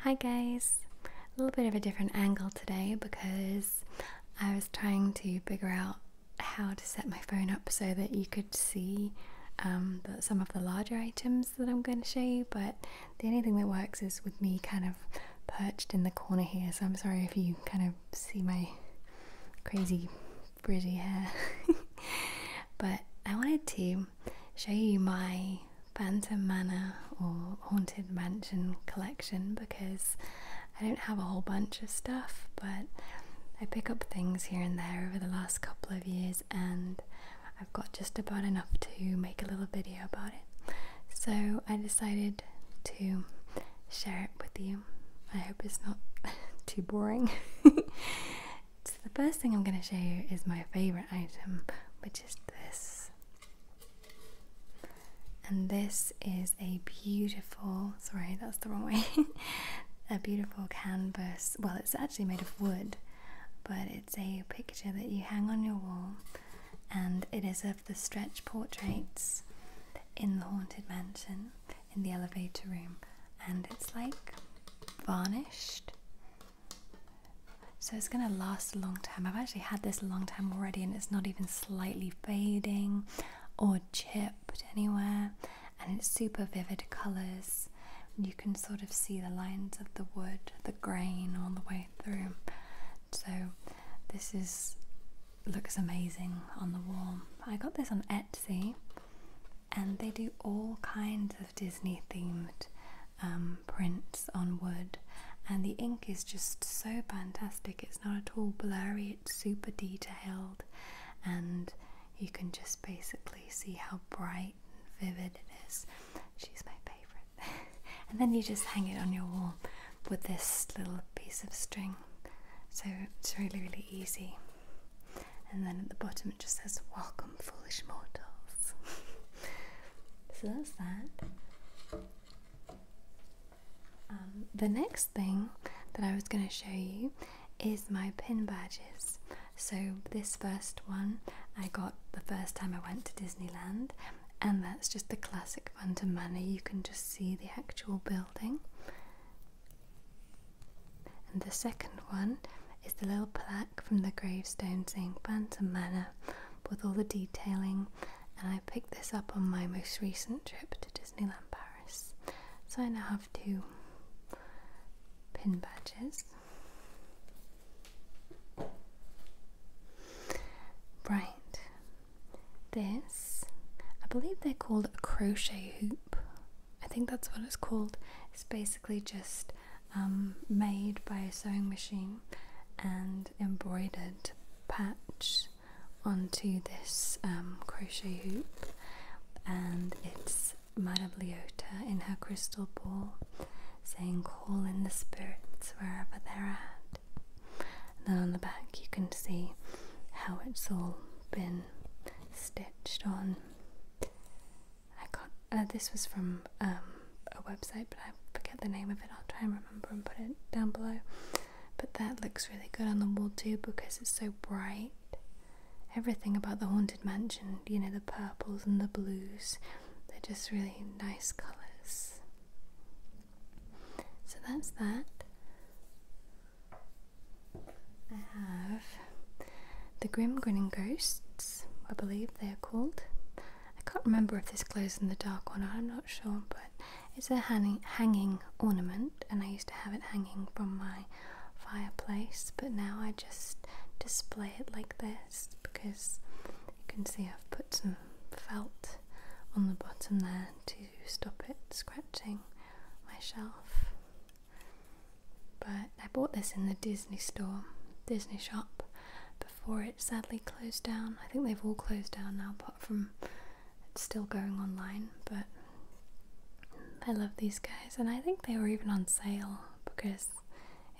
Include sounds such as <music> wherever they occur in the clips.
Hi guys! A little bit of a different angle today because I was trying to figure out how to set my phone up so that you could see um, some of the larger items that I'm going to show you but the only thing that works is with me kind of perched in the corner here so I'm sorry if you kind of see my crazy frizzy hair <laughs> but I wanted to show you my Phantom Manor or Haunted Mansion collection because I don't have a whole bunch of stuff, but I pick up things here and there over the last couple of years, and I've got just about enough to make a little video about it. So I decided to share it with you. I hope it's not <laughs> too boring. <laughs> So the first thing I'm going to show you is my favourite item, which is this. And this is a beautiful, sorry, that's the wrong way, <laughs> a beautiful canvas. Well, it's actually made of wood, but it's a picture that you hang on your wall, and it is of the stretch portraits in the Haunted Mansion in the elevator room. And it's like varnished so it's going to last a long time. I've actually had this a long time already and it's not even slightly fading or chipped anywhere. And it's super vivid colours. You can sort of see the lines of the wood, the grain all the way through. So this is looks amazing on the wall. I got this on Etsy Etsy, and they do all kinds of Disney themed um, prints on wood. And the ink is just so fantastic, it's not at all blurry, it's super detailed, and you can just basically see how bright and vivid it is. She's my favourite. <laughs> and then you just hang it on your wall with this little piece of string. So it's really, really easy and then at the bottom it just says welcome foolish mortals <laughs> so that's that um, the next thing that i was going to show you is my pin badges so this first one i got the first time i went to disneyland and that's just the classic phantom manor you can just see the actual building and the second one is the little plaque from the gravestone saying Bantam Manor with all the detailing. And I picked this up on my most recent trip to Disneyland Paris. So I now have two pin badges. Right, this I believe they're called crochet hoop. I think that's what it's called. It's basically just um, made by a sewing machine and embroidered patch onto this um, crochet hoop, and it's Madame Leota in her crystal ball saying, Call in the spirits wherever they're at. And then on the back, you can see how it's all been stitched on. I can uh, this was from um, a website, but I forget the name of it. I'll try and remember and put it down below. But that looks really good on the wall too because it's so bright. Everything about the haunted mansion, you know, the purples and the blues, they're just really nice colours. So that's that. I have the Grim Grinning Ghosts, I believe they're called. I can't remember if this glows in the dark or not, I'm not sure, but it's a hanging, ornament, and I used to have it hanging from my fireplace, but now I just display it like this because you can see I've put some felt on the bottom there to stop it scratching my shelf. But I bought this in the Disney store, Disney shop, before it sadly closed down. I think they've all closed down now, apart from it's still going online. But I love these guys, and I think they were even on sale because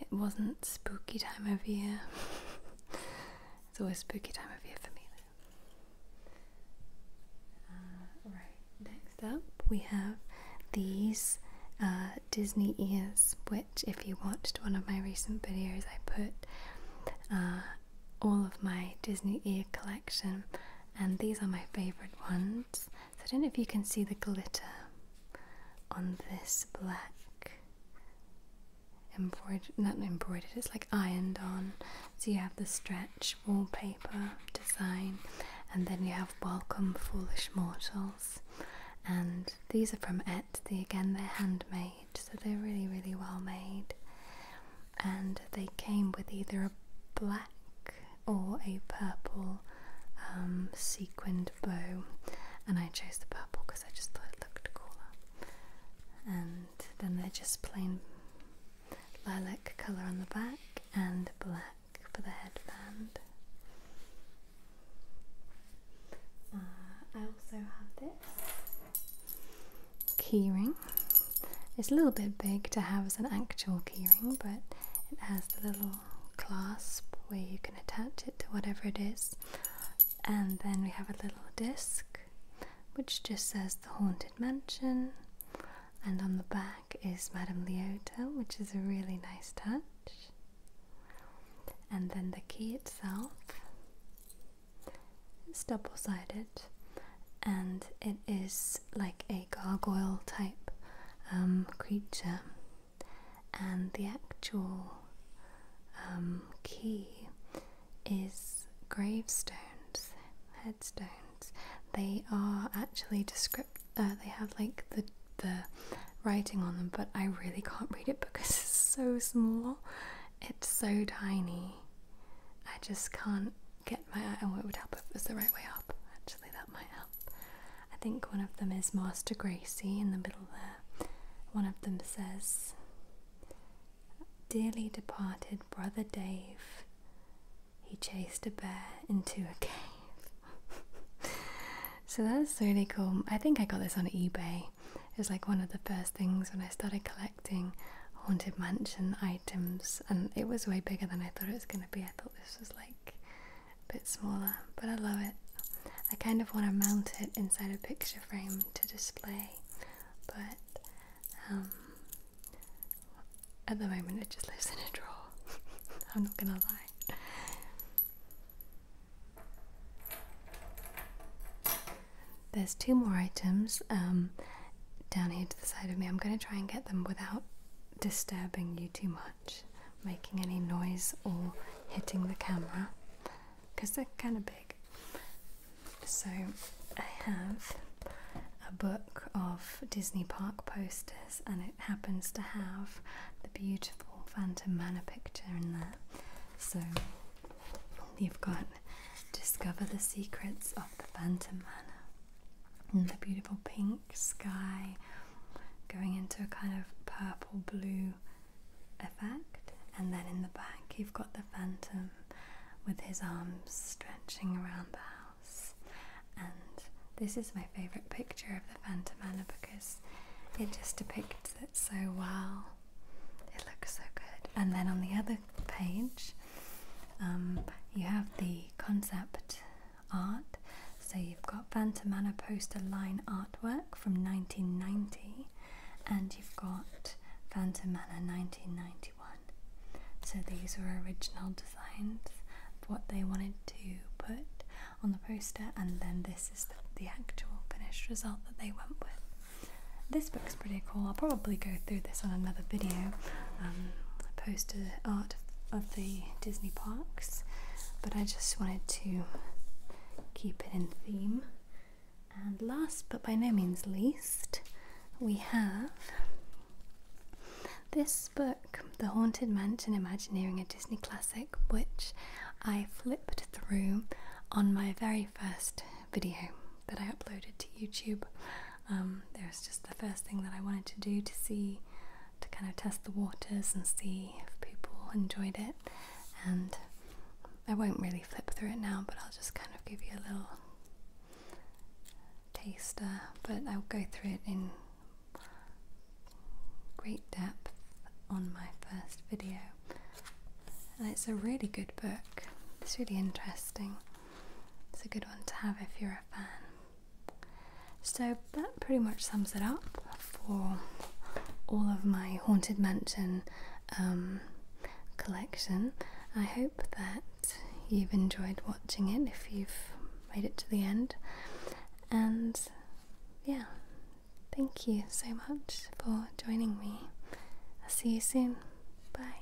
it wasn't spooky time of year. <laughs> it's always spooky time of year for me. Uh, right, next up we have these uh, Disney ears, which, if you watched one of my recent videos, I put uh, all of my Disney ear collection, and these are my favorite ones. So, I don't know if you can see the glitter on this black embroidered, not embroidered, it's like ironed on. So you have the stretch wallpaper design, and then you have Welcome Foolish Mortals. And these are from Et, the, again, they're handmade, so they're really, really well made. And they came with either a black or a purple um, sequined bow, and I chose the purple because I just thought it looked cooler and then they're just plain lilac colour on the back and black for the headband. Uh, I also have this keyring. It's a little bit big to have as an actual keyring, but it has the little clasp where you can attach it to whatever it is and then we have a little disc which just says the haunted mansion and on the back is madame leota which is a really nice touch and then the key itself is double-sided and it is like a gargoyle type um, creature and the actual um, key is gravestones, headstones. They are actually descript. Uh, they have like the the writing on them, but I really can't read it because it's so small. It's so tiny. I just can't get my eye. Oh, it would help if it was the right way up. Actually, that might help. I think one of them is Master Gracie in the middle there. One of them says, Dearly departed brother Dave, he chased a bear into a cave. <laughs> so that's really cool. I think I got this on eBay. It was like one of the first things when I started collecting haunted mansion items, and it was way bigger than I thought it was going to be. I thought this was like bit smaller, but I love it. I kind of want to mount it inside a picture frame to display, but um, at the moment it just lives in a drawer. <laughs> I'm not gonna lie. There's two more items um, down here to the side of me. I'm going to try and get them without disturbing you too much making any noise or hitting the camera because they're kind of big. So I have a book of Disney Park posters, and it happens to have the beautiful Phantom Manor picture in there. So you've got Discover the Secrets of the Phantom Manor. in the beautiful pink sky going into a kind of purple blue effect, and then in the back, you've got the phantom with his arms stretching around the house. And this is my favourite picture of the phantom Anna because it just depicts it so well. It looks so good. And then on the other page, um, you have the concept art. So you've got Vantamana poster line artwork from 1990 and you've got Vantamana 1991. So these were original designs of what they wanted to put on the poster and then this is the, actual finished result that they went with. This book's pretty cool. I'll probably go through this on another video. Um, poster art of the Disney parks, but I just wanted to keep it in theme. And last but by no means least, we have this book, The Haunted Mansion Imagineering a Disney Classic, which I flipped through on my very first video that I uploaded to YouTube um, there's just the first thing that I wanted to do to see, to kind of test the waters and see if people enjoyed it. And I won't really flip through it now, but I'll just kind of give you a little taster. But I'll go through it in great depth on my first video. And it's a really good book. It's really interesting. It's a good one to have if you're a fan. So that pretty much sums it up for all of my Haunted Mansion um, collection. I hope that you've enjoyed watching it if you've made it to the end. And yeah, thank you so much for joining me. I'll see you soon. Bye.